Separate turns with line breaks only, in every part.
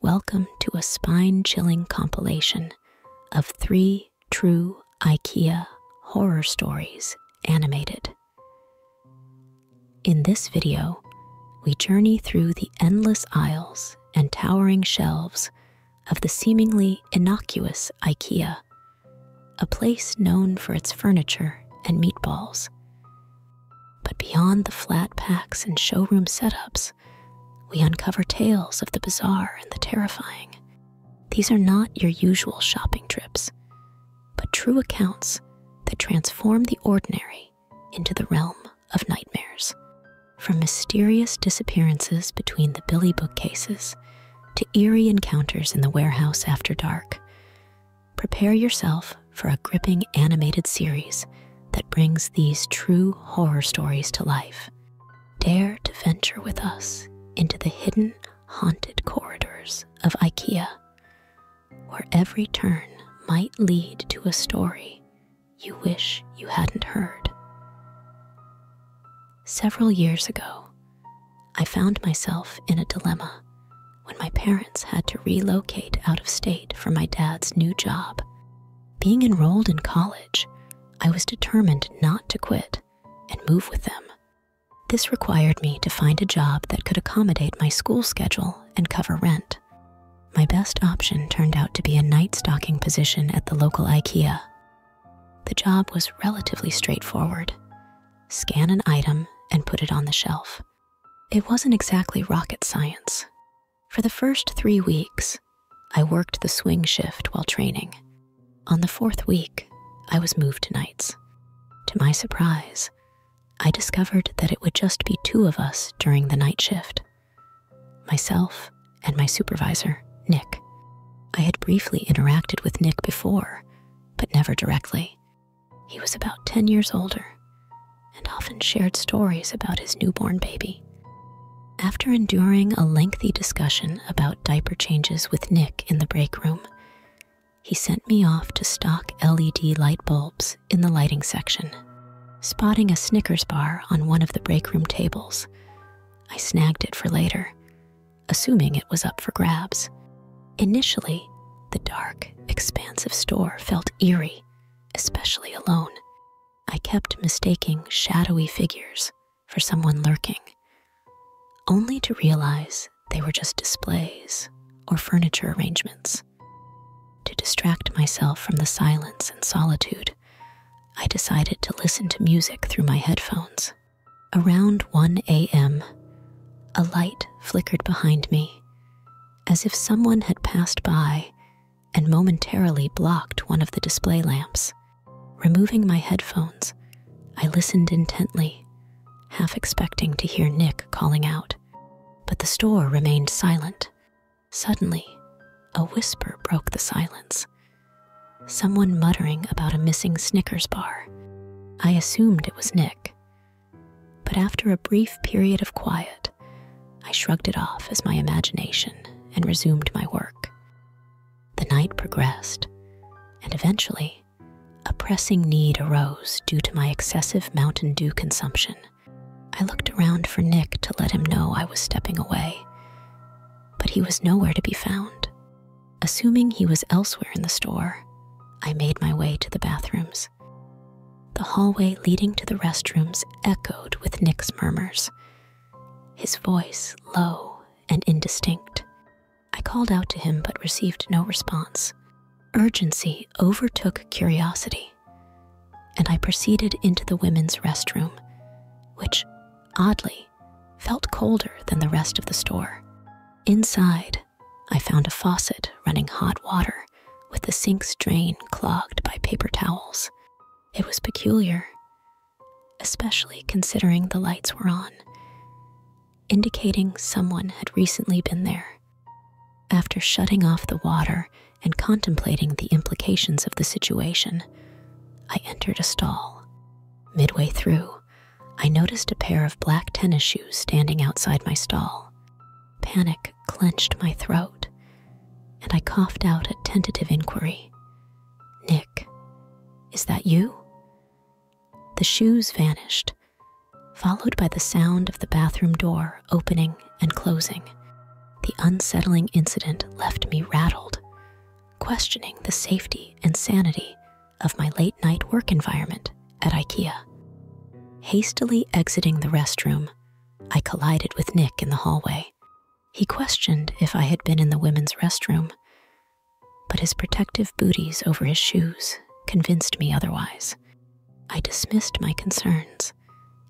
Welcome to a spine chilling compilation of three true IKEA horror stories animated. In this video, we journey through the endless aisles and towering shelves of the seemingly innocuous IKEA, a place known for its furniture and meatballs. But beyond the flat packs and showroom setups, we uncover tales of the bizarre and the terrifying. These are not your usual shopping trips, but true accounts that transform the ordinary into the realm of nightmares. From mysterious disappearances between the Billy bookcases to eerie encounters in the warehouse after dark, prepare yourself for a gripping animated series that brings these true horror stories to life. Dare to venture with us into the hidden, haunted corridors of IKEA, where every turn might lead to a story you wish you hadn't heard. Several years ago, I found myself in a dilemma when my parents had to relocate out of state for my dad's new job being enrolled in college, I was determined not to quit and move with them. This required me to find a job that could accommodate my school schedule and cover rent. My best option turned out to be a night stocking position at the local IKEA. The job was relatively straightforward scan an item and put it on the shelf. It wasn't exactly rocket science, for the first three weeks, I worked the swing shift while training. On the fourth week, I was moved to nights. To my surprise, I discovered that it would just be two of us during the night shift myself and my supervisor, Nick. I had briefly interacted with Nick before, but never directly. He was about 10 years older, and often shared stories about his newborn baby. After enduring a lengthy discussion about diaper changes with Nick in the break room, he sent me off to stock LED light bulbs in the lighting section. Spotting a Snickers bar on one of the break room tables, I snagged it for later, assuming it was up for grabs. Initially, the dark, expansive store felt eerie, especially alone. I kept mistaking shadowy figures for someone lurking, only to realize they were just displays or furniture arrangements. To distract myself from the silence and solitude, I decided to listen to music through my headphones. Around 1 a.m., a light flickered behind me, as if someone had passed by and momentarily blocked one of the display lamps. Removing my headphones, I listened intently, half expecting to hear Nick calling out. But the store remained silent. Suddenly, a whisper broke the silence. Someone muttering about a missing Snickers bar. I assumed it was Nick. But after a brief period of quiet, I shrugged it off as my imagination and resumed my work. The night progressed, and eventually, a pressing need arose due to my excessive Mountain Dew consumption. I looked around for Nick to let him know I was stepping away, but he was nowhere to be found. Assuming he was elsewhere in the store, I made my way to the bathrooms. The hallway leading to the restrooms echoed with Nick's murmurs his voice low and indistinct. I called out to him but received no response. Urgency overtook curiosity, and I proceeded into the women's restroom, which, oddly, felt colder than the rest of the store. Inside, I found a faucet running hot water with the sink's drain clogged by paper towels. It was peculiar, especially considering the lights were on, indicating someone had recently been there. After shutting off the water and contemplating the implications of the situation, I entered a stall. Midway through, I noticed a pair of black tennis shoes standing outside my stall. Panic clenched my throat, and I coughed out a tentative inquiry Nick, is that you? The shoes vanished, followed by the sound of the bathroom door opening and closing. The unsettling incident left me rattled, questioning the safety and sanity of my late night work environment at IKEA. Hastily exiting the restroom, I collided with Nick in the hallway. He questioned if I had been in the women's restroom, but his protective booties over his shoes convinced me otherwise. I dismissed my concerns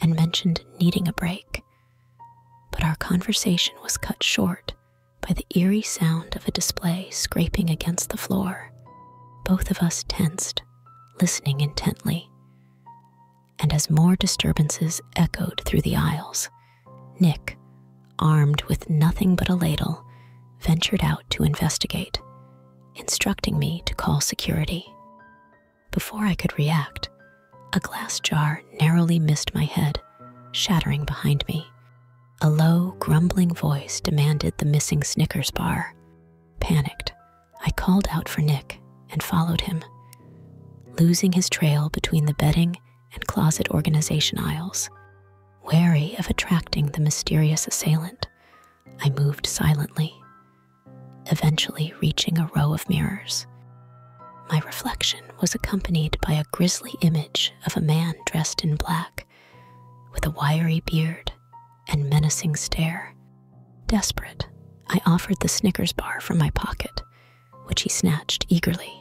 and mentioned needing a break, but our conversation was cut short by the eerie sound of a display scraping against the floor. Both of us tensed, listening intently and as more disturbances echoed through the aisles, Nick, armed with nothing but a ladle, ventured out to investigate, instructing me to call security. Before I could react, a glass jar narrowly missed my head, shattering behind me. A low, grumbling voice demanded the missing Snickers bar. Panicked, I called out for Nick and followed him, losing his trail between the bedding and closet organization aisles. Wary of attracting the mysterious assailant, I moved silently, eventually reaching a row of mirrors. My reflection was accompanied by a grisly image of a man dressed in black, with a wiry beard and menacing stare. Desperate, I offered the Snickers bar from my pocket, which he snatched eagerly.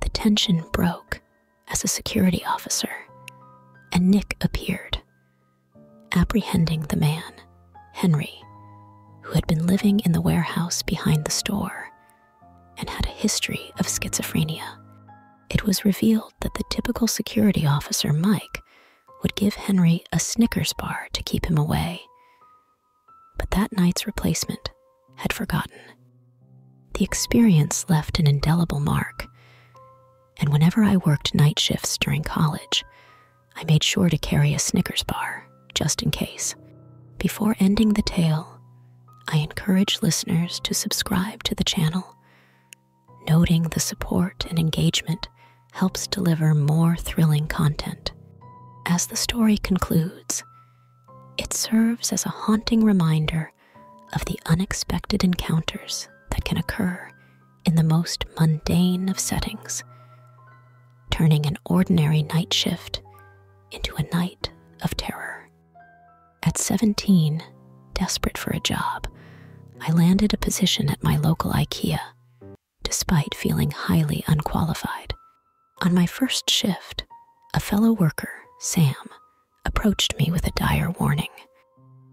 The tension broke as a security officer and Nick appeared, apprehending the man, Henry, who had been living in the warehouse behind the store and had a history of schizophrenia. It was revealed that the typical security officer, Mike, would give Henry a Snickers bar to keep him away, but that night's replacement had forgotten. The experience left an indelible mark, and whenever I worked night shifts during college, I made sure to carry a Snickers bar, just in case. Before ending the tale, I encourage listeners to subscribe to the channel, noting the support and engagement helps deliver more thrilling content. As the story concludes, it serves as a haunting reminder of the unexpected encounters that can occur in the most mundane of settings, turning an ordinary night shift into a night of terror. At 17, desperate for a job, I landed a position at my local IKEA despite feeling highly unqualified. On my first shift, a fellow worker, Sam, approached me with a dire warning.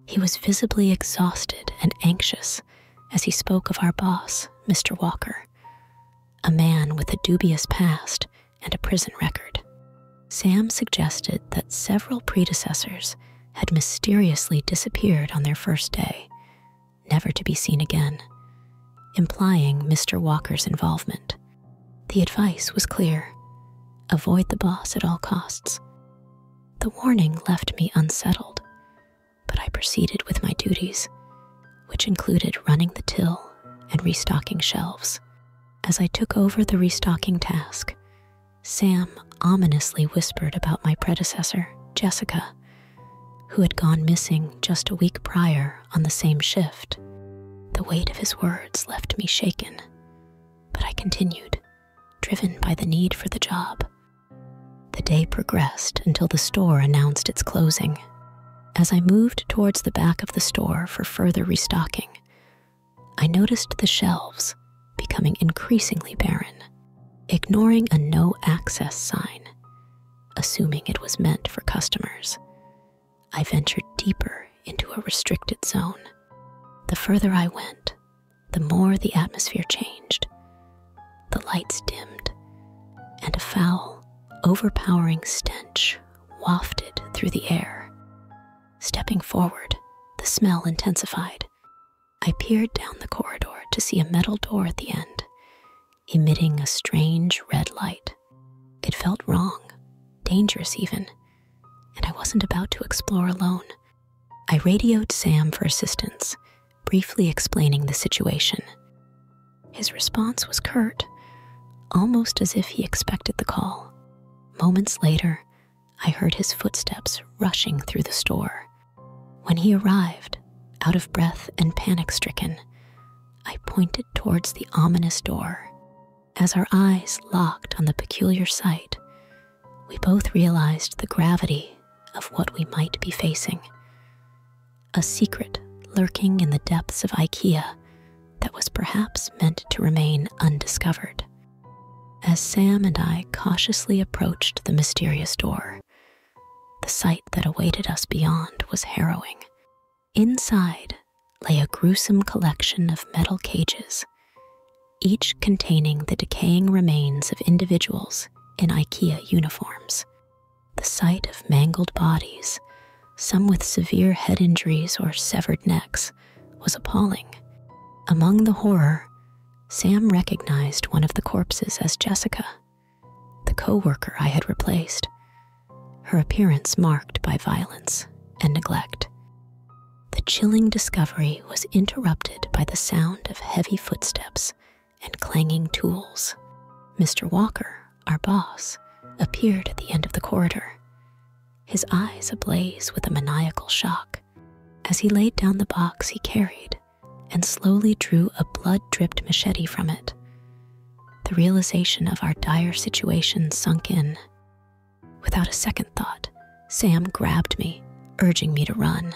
He was visibly exhausted and anxious as he spoke of our boss, Mr. Walker, a man with a dubious past and a prison record. Sam suggested that several predecessors had mysteriously disappeared on their first day, never to be seen again, implying Mr. Walker's involvement. The advice was clear avoid the boss at all costs. The warning left me unsettled, but I proceeded with my duties, which included running the till and restocking shelves. As I took over the restocking task, Sam ominously whispered about my predecessor, Jessica, who had gone missing just a week prior on the same shift. The weight of his words left me shaken, but I continued, driven by the need for the job. The day progressed until the store announced its closing. As I moved towards the back of the store for further restocking, I noticed the shelves becoming increasingly barren. Ignoring a no access sign, assuming it was meant for customers. I ventured deeper into a restricted zone. The further I went, the more the atmosphere changed. The lights dimmed, and a foul, overpowering stench wafted through the air. Stepping forward, the smell intensified. I peered down the corridor to see a metal door at the end emitting a strange red light. It felt wrong, dangerous even, and I wasn't about to explore alone. I radioed Sam for assistance, briefly explaining the situation. His response was curt, almost as if he expected the call. Moments later, I heard his footsteps rushing through the store. When he arrived, out of breath and panic stricken, I pointed towards the ominous door. As our eyes locked on the peculiar sight, we both realized the gravity of what we might be facing. A secret lurking in the depths of IKEA that was perhaps meant to remain undiscovered. As Sam and I cautiously approached the mysterious door, the sight that awaited us beyond was harrowing. Inside lay a gruesome collection of metal cages, each containing the decaying remains of individuals in IKEA uniforms. The sight of mangled bodies, some with severe head injuries or severed necks, was appalling. Among the horror, Sam recognized one of the corpses as Jessica, the coworker I had replaced, her appearance marked by violence and neglect. The chilling discovery was interrupted by the sound of heavy footsteps and clanging tools. Mr. Walker, our boss, appeared at the end of the corridor, his eyes ablaze with a maniacal shock. As he laid down the box he carried, and slowly drew a blood dripped machete from it. The realization of our dire situation sunk in. Without a second thought, Sam grabbed me, urging me to run.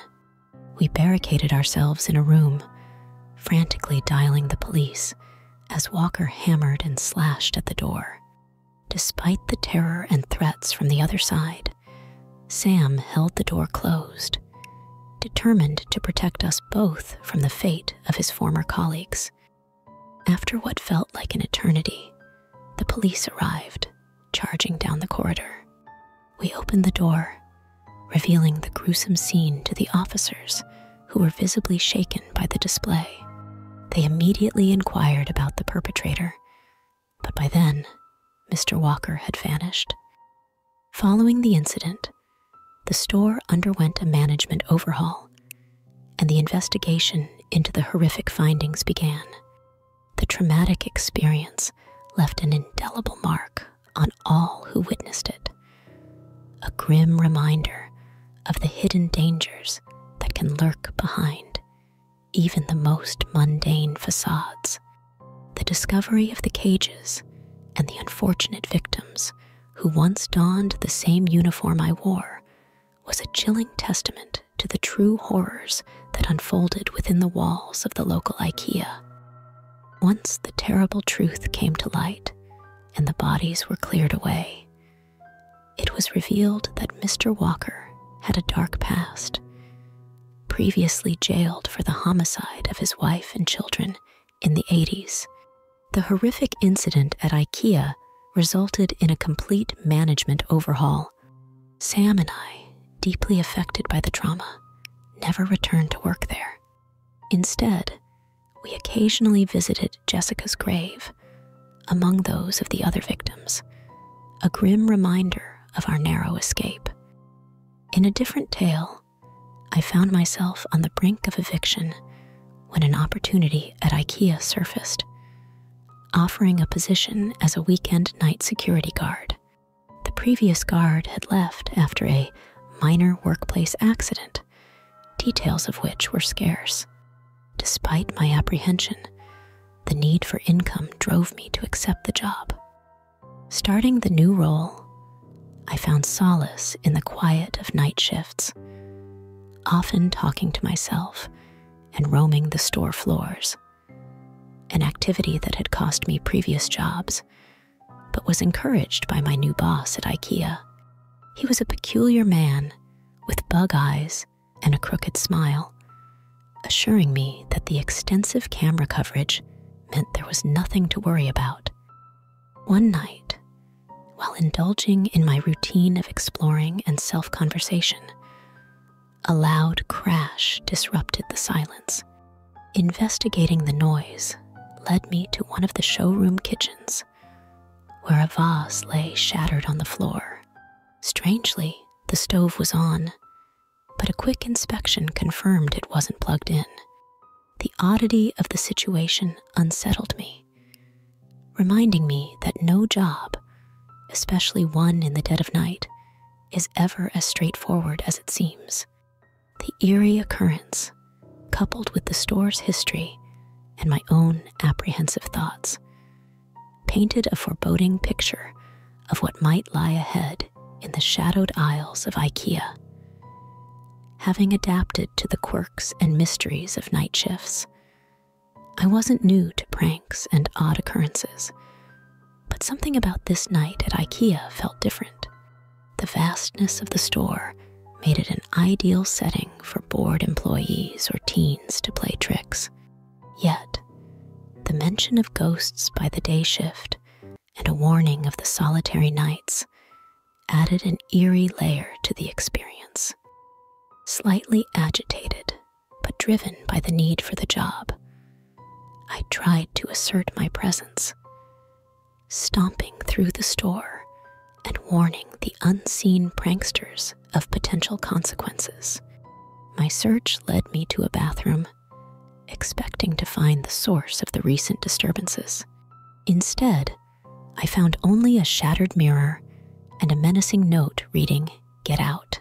We barricaded ourselves in a room, frantically dialing the police as Walker hammered and slashed at the door. Despite the terror and threats from the other side, Sam held the door closed, determined to protect us both from the fate of his former colleagues. After what felt like an eternity, the police arrived, charging down the corridor. We opened the door, revealing the gruesome scene to the officers who were visibly shaken by the display. They immediately inquired about the perpetrator, but by then, Mr. Walker had vanished. Following the incident, the store underwent a management overhaul, and the investigation into the horrific findings began. The traumatic experience left an indelible mark on all who witnessed it, a grim reminder of the hidden dangers that can lurk behind even the most mundane facades. The discovery of the cages and the unfortunate victims who once donned the same uniform I wore, was a chilling testament to the true horrors that unfolded within the walls of the local IKEA. Once the terrible truth came to light and the bodies were cleared away, it was revealed that Mr. Walker had a dark past. Previously jailed for the homicide of his wife and children in the 80s. The horrific incident at IKEA resulted in a complete management overhaul. Sam and I, deeply affected by the trauma, never returned to work there. Instead, we occasionally visited Jessica's grave, among those of the other victims, a grim reminder of our narrow escape. In a different tale, I found myself on the brink of eviction when an opportunity at IKEA surfaced, offering a position as a weekend night security guard. The previous guard had left after a minor workplace accident, details of which were scarce. Despite my apprehension, the need for income drove me to accept the job. Starting the new role, I found solace in the quiet of night shifts, often talking to myself and roaming the store floors, an activity that had cost me previous jobs, but was encouraged by my new boss at IKEA. He was a peculiar man with bug eyes and a crooked smile, assuring me that the extensive camera coverage meant there was nothing to worry about. One night, while indulging in my routine of exploring and self conversation, a loud crash disrupted the silence. Investigating the noise led me to one of the showroom kitchens, where a vase lay shattered on the floor. Strangely, the stove was on, but a quick inspection confirmed it wasn't plugged in. The oddity of the situation unsettled me, reminding me that no job, especially one in the dead of night, is ever as straightforward as it seems. The eerie occurrence, coupled with the store's history and my own apprehensive thoughts, painted a foreboding picture of what might lie ahead in the shadowed aisles of IKEA. Having adapted to the quirks and mysteries of night shifts, I wasn't new to pranks and odd occurrences, but something about this night at IKEA felt different. The vastness of the store made it an ideal setting for bored employees or teens to play tricks. Yet, the mention of ghosts by the day shift and a warning of the solitary nights added an eerie layer to the experience. Slightly agitated, but driven by the need for the job, I tried to assert my presence, stomping through the store and warning the unseen pranksters of potential consequences. My search led me to a bathroom, expecting to find the source of the recent disturbances. Instead, I found only a shattered mirror and a menacing note reading, Get out.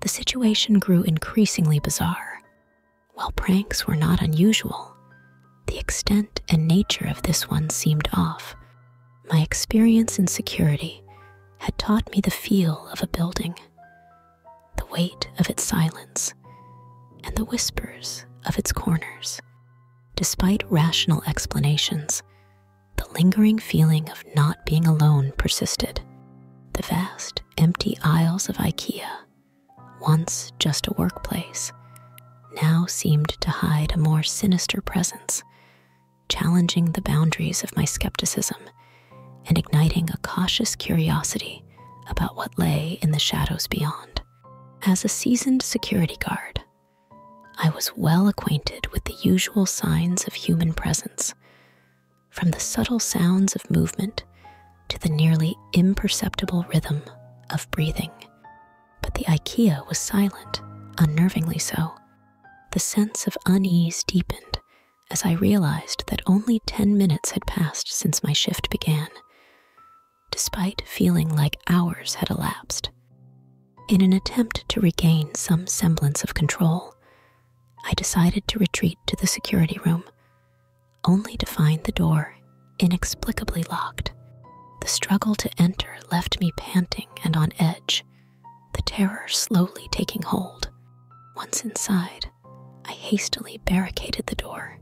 The situation grew increasingly bizarre. While pranks were not unusual, the extent and nature of this one seemed off. My experience in security had taught me the feel of a building, the weight of its silence, and the whispers of its corners. Despite rational explanations, the lingering feeling of not being alone persisted. The vast, empty aisles of IKEA, once just a workplace, now seemed to hide a more sinister presence, challenging the boundaries of my skepticism and igniting a cautious curiosity about what lay in the shadows beyond. As a seasoned security guard, I was well acquainted with the usual signs of human presence, from the subtle sounds of movement to the nearly imperceptible rhythm of breathing. But the IKEA was silent, unnervingly so. The sense of unease deepened as I realized that only 10 minutes had passed since my shift began despite feeling like hours had elapsed. In an attempt to regain some semblance of control, I decided to retreat to the security room, only to find the door inexplicably locked. The struggle to enter left me panting and on edge, the terror slowly taking hold. Once inside, I hastily barricaded the door,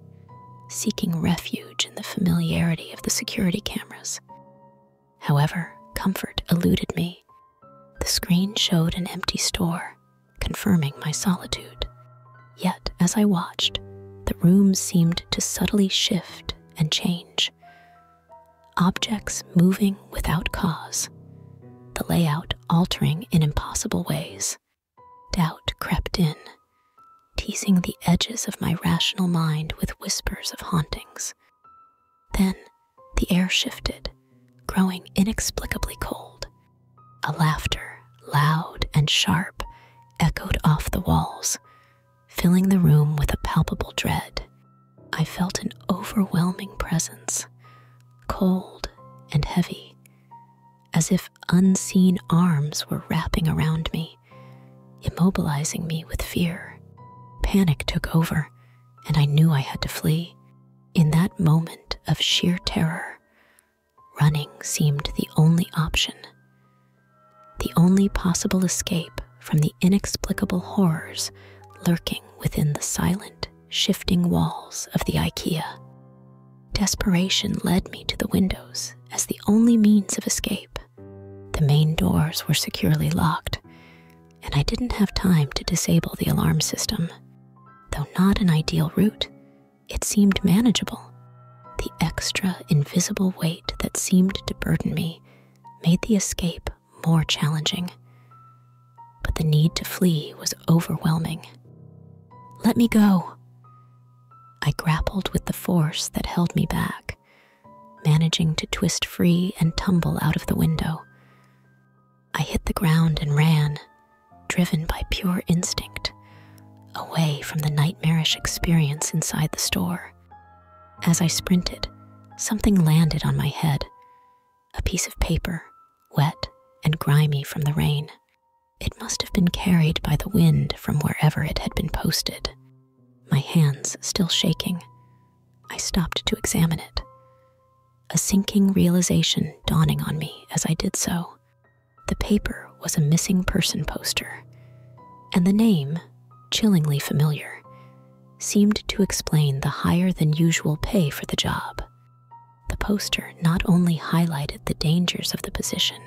seeking refuge in the familiarity of the security cameras. However, comfort eluded me. The screen showed an empty store, confirming my solitude. Yet, as I watched, the room seemed to subtly shift and change. Objects moving without cause, the layout altering in impossible ways. Doubt crept in, teasing the edges of my rational mind with whispers of hauntings. Then the air shifted, growing inexplicably cold. A laughter, loud and sharp, echoed off the walls, filling the room with a palpable dread. I felt an overwhelming presence, cold and heavy, as if unseen arms were wrapping around me, immobilizing me with fear. Panic took over, and I knew I had to flee. In that moment of sheer terror, running seemed the only option, the only possible escape from the inexplicable horrors lurking within the silent, shifting walls of the IKEA. Desperation led me to the windows as the only means of escape. The main doors were securely locked, and I didn't have time to disable the alarm system. Though not an ideal route, it seemed manageable. The extra invisible weight that seemed to burden me made the escape more challenging. But the need to flee was overwhelming. Let me go, I grappled with the force that held me back, managing to twist free and tumble out of the window. I hit the ground and ran, driven by pure instinct, away from the nightmarish experience inside the store. As I sprinted, something landed on my head a piece of paper, wet and grimy from the rain. It must have been carried by the wind from wherever it had been posted, my hands still shaking. I stopped to examine it. A sinking realization dawning on me as I did so. The paper was a missing person poster, and the name, chillingly familiar, seemed to explain the higher than usual pay for the job. The poster not only highlighted the dangers of the position,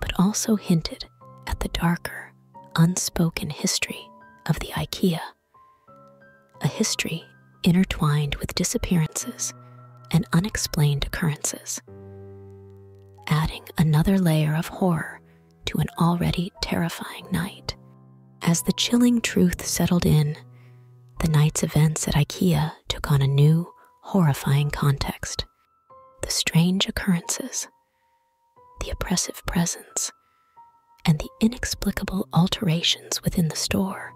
but also hinted at the darker, unspoken history of the IKEA, a history intertwined with disappearances and unexplained occurrences, adding another layer of horror to an already terrifying night. As the chilling truth settled in, the night's events at IKEA took on a new, horrifying context the strange occurrences, the oppressive presence, and the inexplicable alterations within the store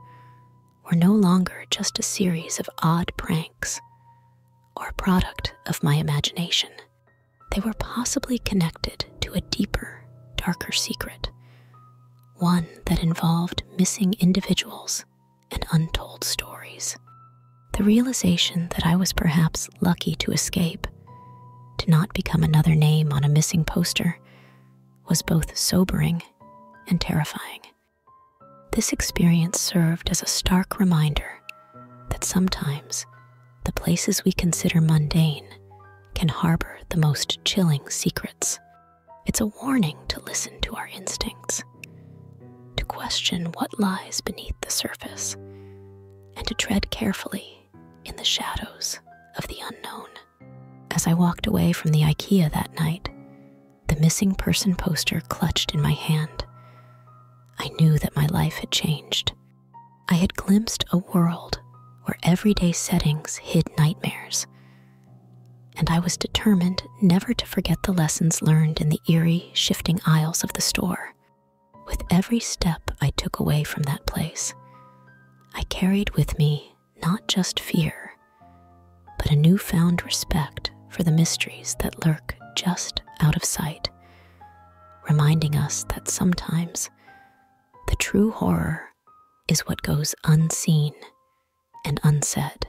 were no longer just a series of odd pranks or a product of my imagination. They were possibly connected to a deeper, darker secret, one that involved missing individuals and untold stories. The realization that I was perhaps lucky to escape, to not become another name on a missing poster, was both sobering and terrifying. This experience served as a stark reminder that sometimes the places we consider mundane can harbor the most chilling secrets. It's a warning to listen to our instincts to question what lies beneath the surface, and to tread carefully in the shadows of the unknown. As I walked away from the IKEA that night, the missing person poster clutched in my hand. I knew that my life had changed. I had glimpsed a world where everyday settings hid nightmares, and I was determined never to forget the lessons learned in the eerie shifting aisles of the store. With every step I took away from that place, I carried with me not just fear, but a newfound respect for the mysteries that lurk just out of sight, reminding us that sometimes the true horror is what goes unseen and unsaid.